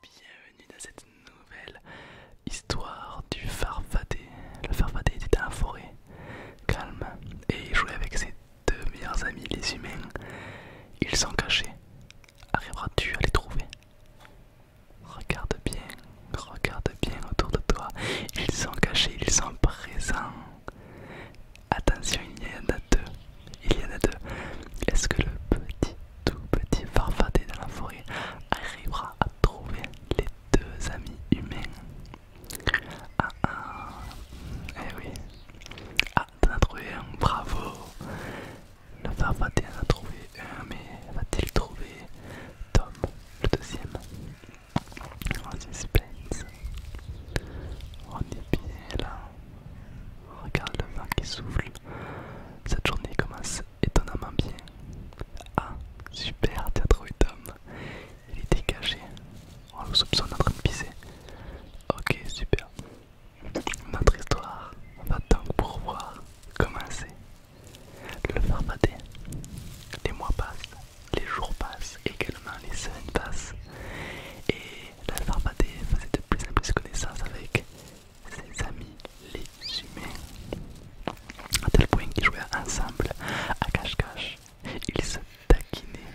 Salut, bienvenue dans cette nouvelle histoire du Farfadé. Le Farfadé était dans la forêt, calme, et il jouait avec ses deux meilleurs amis, les humains. Ils sont cachés Arriveras-tu à les trouver Regarde bien, regarde bien autour de toi. Ils sont cachés, ils sont présents. Attention, il y en a deux. Il y en a deux. Est-ce que le petit, tout petit farfadé dans la forêt arrivera à trouver les deux amis humains Ah ah Eh oui. Ah, t'en as trouvé un, bravo le vent va-t-elle en trouver un, mais va-t-il trouver Tom, le deuxième oh, On est bien là. Regarde le vent qui souffle. Cette journée commence étonnamment bien. Ah, super, t'as trouvé Tom. Il était caché. On le soupçonne en train de pisser. Ok, super. Notre histoire va donc pouvoir commencer. Le farfadet. Les mois passent, les jours passent, également les semaines passent. Et le farfadet faisait de plus en plus connaissance avec ses amis, les humains. À tel point qu'ils jouaient ensemble à cache-cache. Ils se taquinaient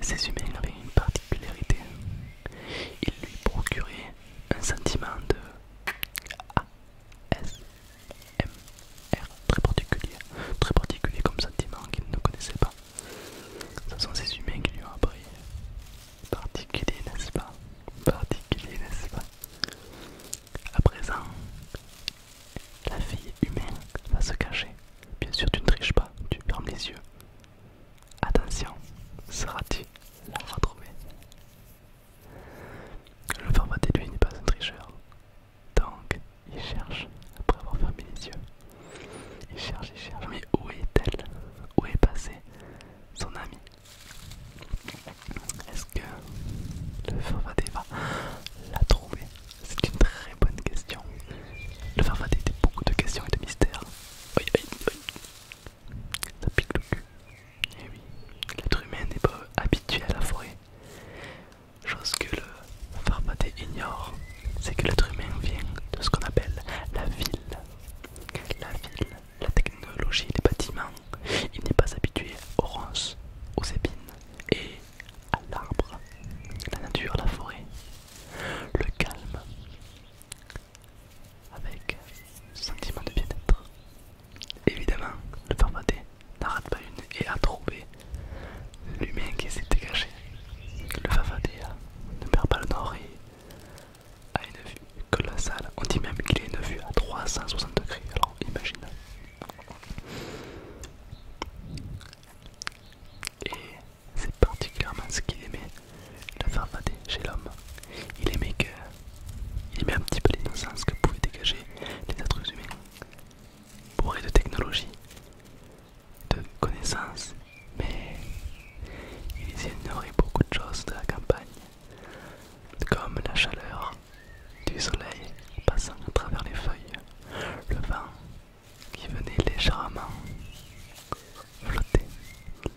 Ces humains avaient une particularité. Ils lui procuraient un sentiment de ASMR très particulier, très particulier comme sentiment qu'ils ne connaissait pas. Ce sont ces humains qui lui ont appris. Particulier, n'est-ce pas Particulier, n'est-ce pas À présent, la fille humaine va se cacher. Bien sûr, tu ne triches pas, tu fermes les yeux. Attention, seras-tu la retrouver Le formaté lui n'est pas un tricheur. Donc, il cherche, après avoir fermé les yeux. Il cherche, il cherche. Mais où est-elle Où est passé son ami Est-ce que le formaté va la trouver C'est une très bonne question. Le a était beaucoup de questions et de mystères. Aïe aïe aïe. Ça pique le cul. Eh oui, l'être humain n'est pas habitué à la forêt. Chose que le farfadet ignore, c'est que l'être humain vient de ce qu'on appelle la ville. La ville, la technologie, les bâtiments. Il n'est pas habitué aux ronces, aux épines et à l'arbre, la nature, la forêt le calme avec sentiment de bien-être. Évidemment, le farfadet n'arrête pas une et a trouvé l'humain qui s'était dégagé. Le farfadet ne perd pas le nord et a une vue colossale. On dit même qu'il a une vue à 360 degrés, alors imagine. Et c'est particulièrement ce qu'il aimait, la farfader chez l'homme. Il aimait que. Il aimait un petit peu l'innocence que pouvaient dégager les êtres humains. Bourrés de technologie, de connaissances, mais il ignorait beaucoup de choses de la campagne, comme la chaleur du soleil passant à travers les feuilles, le vent qui venait légèrement flotter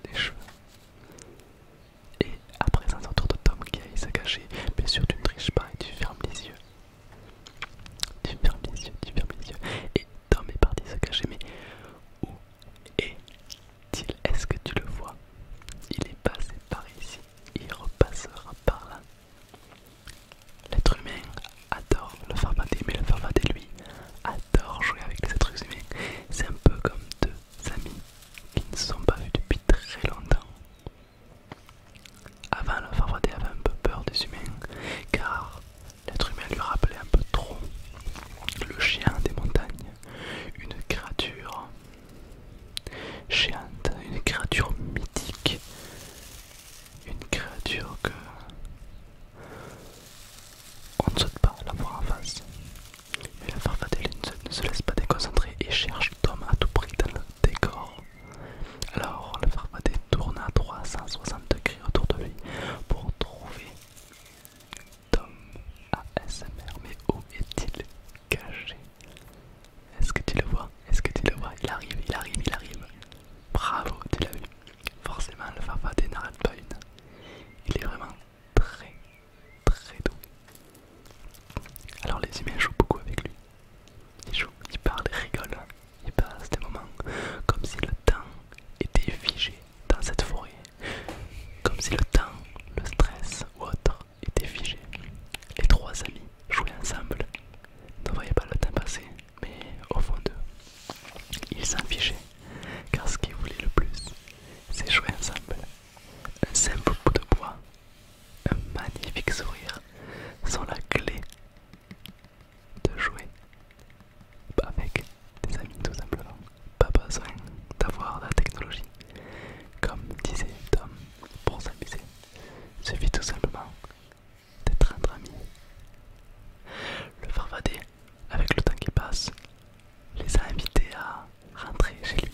les cheveux. Et après présent, tour de Tom qui aille se cacher. Bien sûr, tu ne triches pas et tu fermes les yeux. Tu fermes les yeux, tu fermes les yeux. Et Tom est parti se cacher, mais où est-il Est-ce que tu le vois Il est passé par ici. Il repassera par là. L'être humain adore le farfadet, mais le farfadet, lui, adore jouer avec les êtres humains. C'est un peu comme deux amis qui ne se sont pas vus depuis très longtemps. Avant, le farfadet avait un peu peur des humains, car l'être humain lui rappelait un peu trop le chien des montagnes, une créature géante, une créature mythique une créature que on ne souhaite pas la voir en face. Mais la farfadelle ne se laisse pas déconcentrer et cherche Tom à tout prix dans le décor. Alors la farfadelle tourne à 360 degrés autour de lui pour trouver Tom ASMR. Mais où est-il caché Est-ce que tu le vois est-ce que tu le vois Il arrive, il arrive, il arrive. Bravo, tu l'as vu. Forcément, le Fafa n'arrête pas une. Il est vraiment très, très doux. Alors, les humains jouent beaucoup avec lui. Ils jouent, ils parlent, ils rigolent. Hein. Ils passent des moments comme si le temps était figé dans cette forêt. Comme si le temps, le stress ou autre était figé. Les trois amis jouaient ensemble. Ne voyaient pas le temps passer mais au fond d'eux, ils s'en fichaient, car ce qu'ils voulaient le plus, c'est jouer ensemble. Un simple bout de bois, un magnifique sourire sont la clé de jouer avec des amis tout simplement. Pas besoin d'avoir la technologie, comme disait Tom, pour s'amuser. Suffit tout simplement d'être entre amis. Le Farvadé, avec le temps qui passe, les a invités à rentrer chez lui.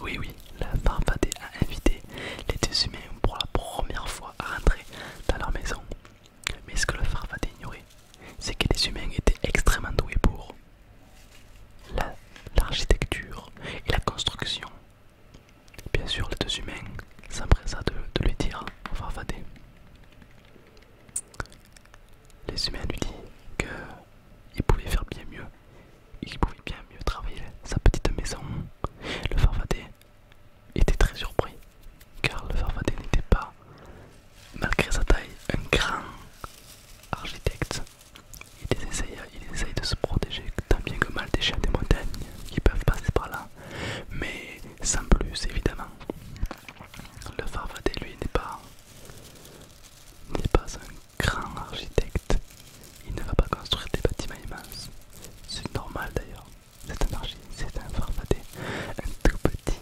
Oui, oui, le Farvadé a invité les deux humains pour la première fois à rentrer dans leur maison. Mais ce que le Farvadé ignorait, c'est que les humains étaient extrêmement doués pour l'architecture et la construction Bien sûr, les deux humains s'empressaient de, lui dire pour Les humains lui dit que il pouvait faire bien mieux, il pouvait bien mieux travailler sa petite maison. Le farfadet était très surpris, car le farfadet n'était pas, malgré sa taille, un grand architecte. Il des essayait il essaye de se protéger tant bien que mal des chiens des montagnes qui peuvent passer par là, mais sans plus évidemment. Le Farfadé, lui n'est pas, un grand architecte, il ne va pas construire des bâtiments immenses, c'est normal d'ailleurs, c'est un c'est un un tout petit,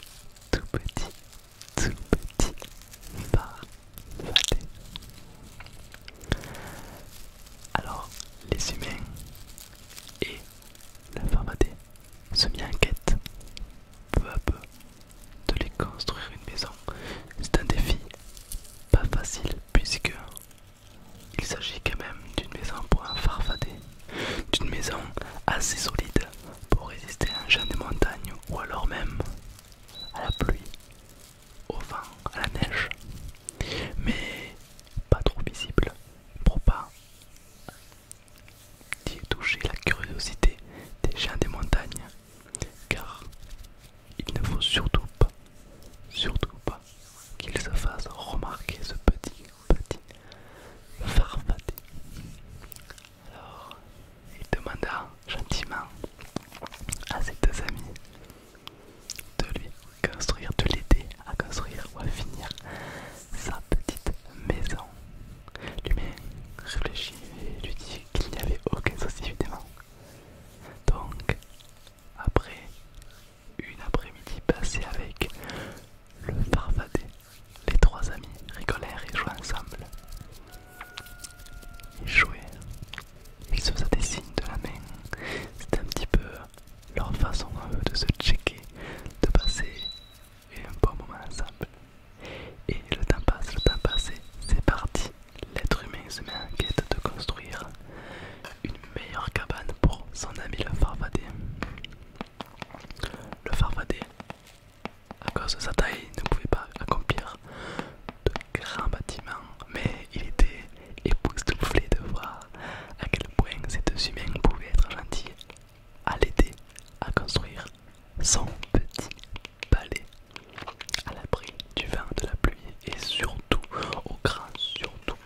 tout petit, tout petit Farfadé. Alors, les humains et la farfadée se mis en quête, peu à peu, de les construire une maison. C'est un défi pas facile puisque il s'agit quand même d'une maison pour un farfadé, d'une maison assez solide pour résister à un champ de montagne ou alors même à la pluie au vent, à la neige, mais pas trop visible pour pas toucher la curiosité des gens des montagnes, car il ne faut surtout pas, surtout pas qu'ils se fassent remarquer ce petit, petit farfadet. Alors, il demanda gentiment à ses deux amis de lui construire, de l'aider à construire ou à finir sa petite maison. L'humain réfléchit et lui dit qu'il n'y avait aucun souci évidemment. Donc, après une après-midi passée avec le farfadet, les trois amis rigolèrent et jouaient ensemble. Ils jouaient, ils se faisaient des signes de la main. C'était un petit peu leur façon de se checker, de passer un bon moment ensemble. Et le temps passe, le temps passe, c'est parti. L'être humain se met en quête de construire une meilleure cabane pour son ami le farfadet. Le farfadet, à cause de sa taille, ne pouvait pas accomplir de grand bâtiment, mais il était époustouflé de voir à quel point ces deux humains pouvaient être gentils à l'aider à construire son petit palais à l'abri du vent, de la pluie et surtout, au grand surtout,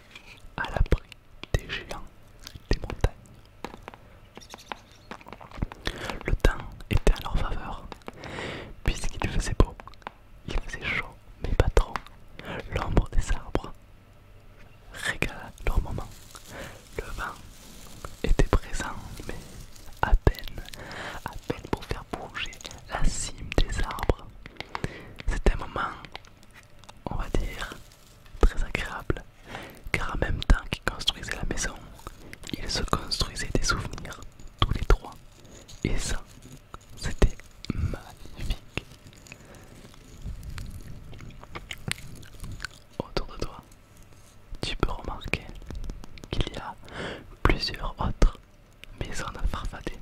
à l'abri des géants des montagnes. Le temps était en leur faveur, puisqu'il faisait beau il faisait chaud, mais pas trop. L'ombre des arbres régala leur moment. Le vent était présent, mais à peine, à peine pour faire bouger la cime des arbres. C'était un moment, on va dire, très agréable, car en même temps qu'ils construisaient la maison, ils se construisaient des souvenirs, tous les trois. Et ça, c'était magnifique. Autour de toi, tu peux remarquer qu'il y a plusieurs autres maisons de farfader.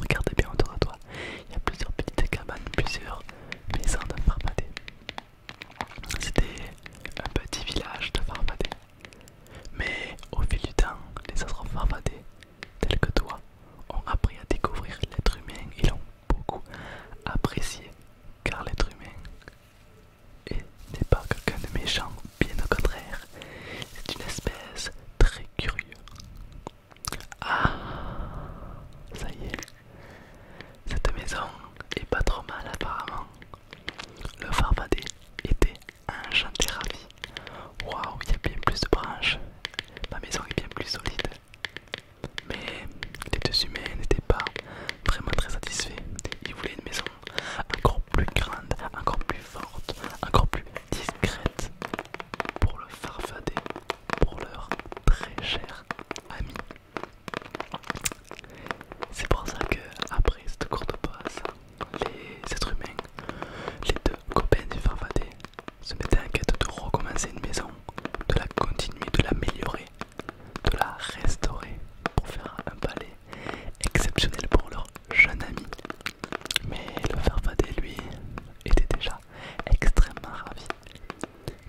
Regardez bien autour de toi, il y a plusieurs petites cabanes, plusieurs maisons de farfader. C'était un petit village de farfader. Mais au fil du temps, les astres farfadés, tels que toi, ont appris à découvrir l'être humain et l'ont beaucoup apprécié, car l'être humain n'est pas quelqu'un de méchant, bien au contraire, c'est une espèce très curieuse. Ah, ça y est, cette maison est pas trop mal apparemment. Le farfadet était un gentil ravi. Waouh, il y a bien plus de branches. Ma maison est bien plus solide. Mais les deux humains n'étaient pas vraiment très satisfaits. Ils voulaient une maison encore plus grande, encore plus forte, encore plus discrète pour le farfadet, pour leur très cher ami. C'est pour ça que après cette courte pause, les êtres humains, les deux copains du Farfadet, se mettaient en quête de recommencer une maison, de la continuer, de l'améliorer, de la restaurer pour faire un palais exceptionnel pour leur jeune ami. Mais le Farfadet, lui, était déjà extrêmement ravi,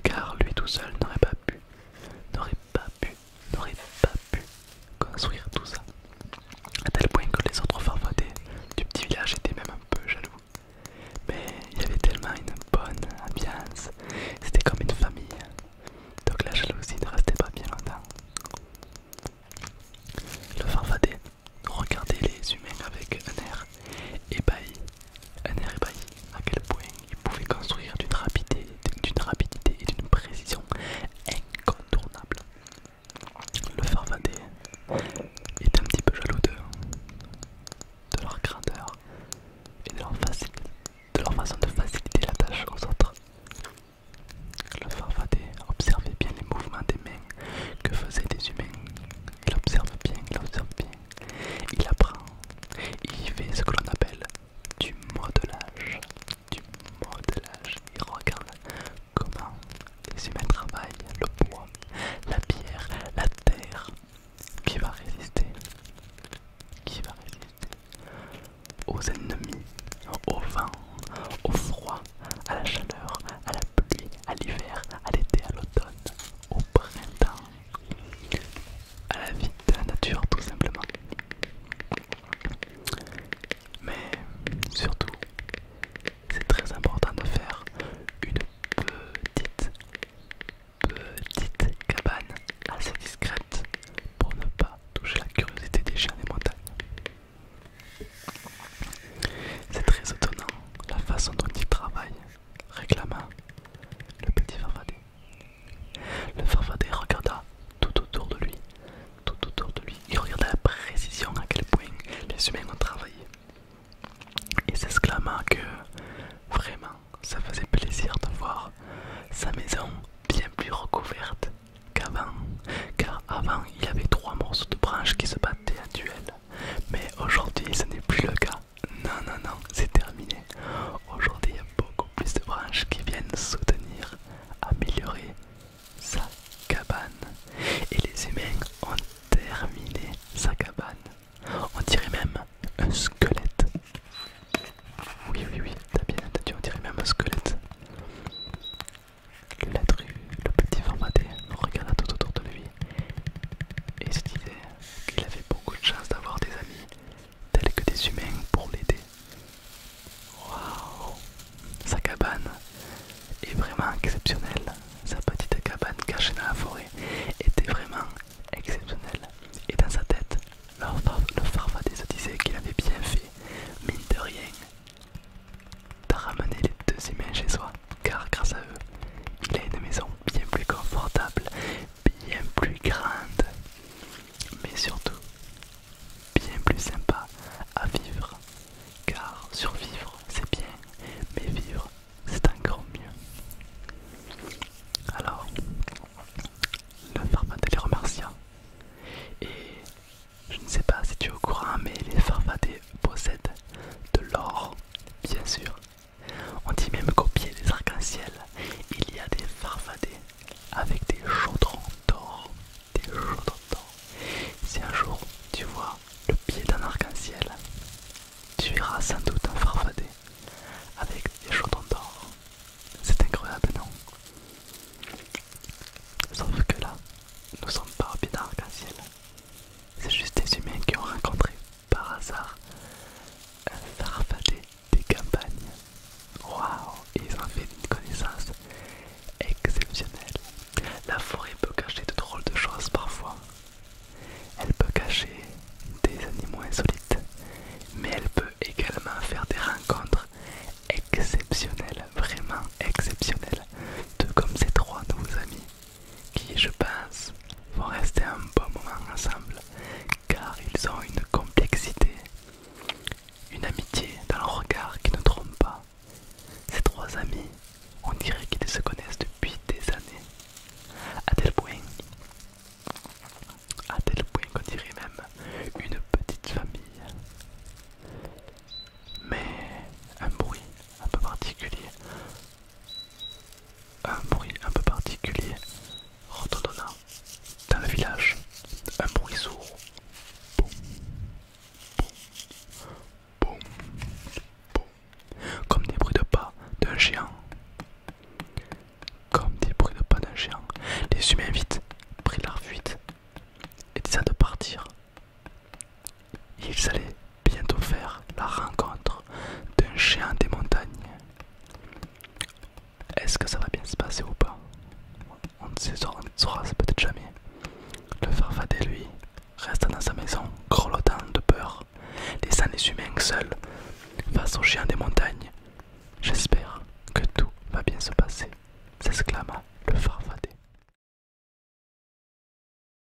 car lui tout seul n'aurait pas pu, n'aurait pas pu n'aurait pas pu construire tout ça. À tel point que les autres farfadets du petit village étaient même un peu jaloux. Mais il y avait tellement une bonne ambiance, c'était comme une famille. Donc la jalousie ne restait pas bien longtemps. Le farfadet regardait les humains avec un air ébahi, un air ébahi à quel point il pouvait construire d'une rapidité, d'une rapidité et d'une précision incontournable. Le Farfadet est un petit peu jaloux de, leur grandeur et de leur, façon de faciliter la tâche aux autres. Le Farfadet observait bien les mouvements des mains que faisaient des humains. Il observe bien, il observe bien. Il apprend. Il fait ce que l'on appelle du modelage, du modelage. Et regarde comment les humains travaillent, le bois, la pierre, la terre. Qui va résister Qui va résister aux ennemis, au vent, au froid, à la chaleur, à la pluie, à l'hiver, à l'été, à l'automne, au printemps à la vie de la nature tout simplement. Mais surtout, c'est très important de faire une petite, petite cabane assez discrète pour ne pas toucher la curiosité des chiens des montagnes. C'est très étonnant la façon dont ils travaillent, réclamant le petit Farfadet. Le farfadet regarda tout autour de lui, tout autour de lui. Il regarda la précision à quel point les humains ont travaillé. Et s'exclama que vraiment, ça faisait plaisir de voir sa maison bien plus recouverte qu'avant, car avant il y avait trois morceaux de branches qui se battaient en duel. Mais aujourd'hui, ce n'est plus le cas. Non, non, non, c'est terminé. Aujourd'hui, il y a beaucoup plus de branches qui viennent soutenir, améliorer sa cabane. Et les humains ont terminé sa cabane. On dirait même un squelette. Oui, oui, oui, t'as bien entendu, on dirait même un squelette. La le petit formaté regarda tout autour de lui et se disait qu'il avait beaucoup de chance d'avoir des amis Tel que des humains pour l'aider. Waouh Sa cabane est vraiment exceptionnelle. Sa petite cabane cachée dans la forêt était vraiment exceptionnelle. Et dans sa tête, le, disait qu'il avait bien fait, mine de rien, de ramener les deux humains chez soi, car grâce à eux, il a une maison bien plus confortable, bien plus grande, mais surtout bien plus sympa à vivre. Car survivre c'est bien, mais vivre c'est encore mieux. Alors, le farfadet les remercia. Et je ne sais pas si tu es au courant, mais les farfadets possèdent de l'or, bien sûr, on dit même qu'au pied des arcs-en-ciel, il y a des farfadets avec des chaudrons d'or. Des Si un jour tu vois le pied d'un arc-en-ciel, tu iras sans doute un farfadet avec des chaudrons d'or. C'est incroyable, non Sauf que là, nous ne sommes pas au pied d'un arc-en-ciel. C'est juste des humains qui ont rencontré par hasard un farfadé des campagnes. Waouh, ils ont fait une connaissance exceptionnelle. La forêt peut cacher de drôles de choses parfois. Elle peut cacher des animaux insolites, mais elle peut également faire des rencontres exceptionnelles, vraiment exceptionnelles, tout comme ces trois nouveaux amis qui, je pense, vont rester un bon moment ensemble car ils ont une complexité, une amitié dans leur regard qui ne trompe pas. Ces trois amis, on dirait qu'ils se connaissent depuis des années, à tel point, à tel point qu'on dirait même une petite famille. Mais un bruit un peu particulier un bruit un peu particulier retournant dans le village. Un bruit sourd. Comme des bruits de pas d'un géant. Comme des bruits de pas d'un géant. Les humains vite prirent leur fuite et décidèrent de partir. Ils allaient bientôt faire la rencontre d'un géant des montagnes. Est-ce que ça va bien se passer ou pas On ne saura peut-être jamais. Le farfadet, lui, resta dans sa maison, grelottant de peur, laissant les humains seuls face au géant des montagnes. J'espère que tout va bien se passer, s'exclama le farfadet.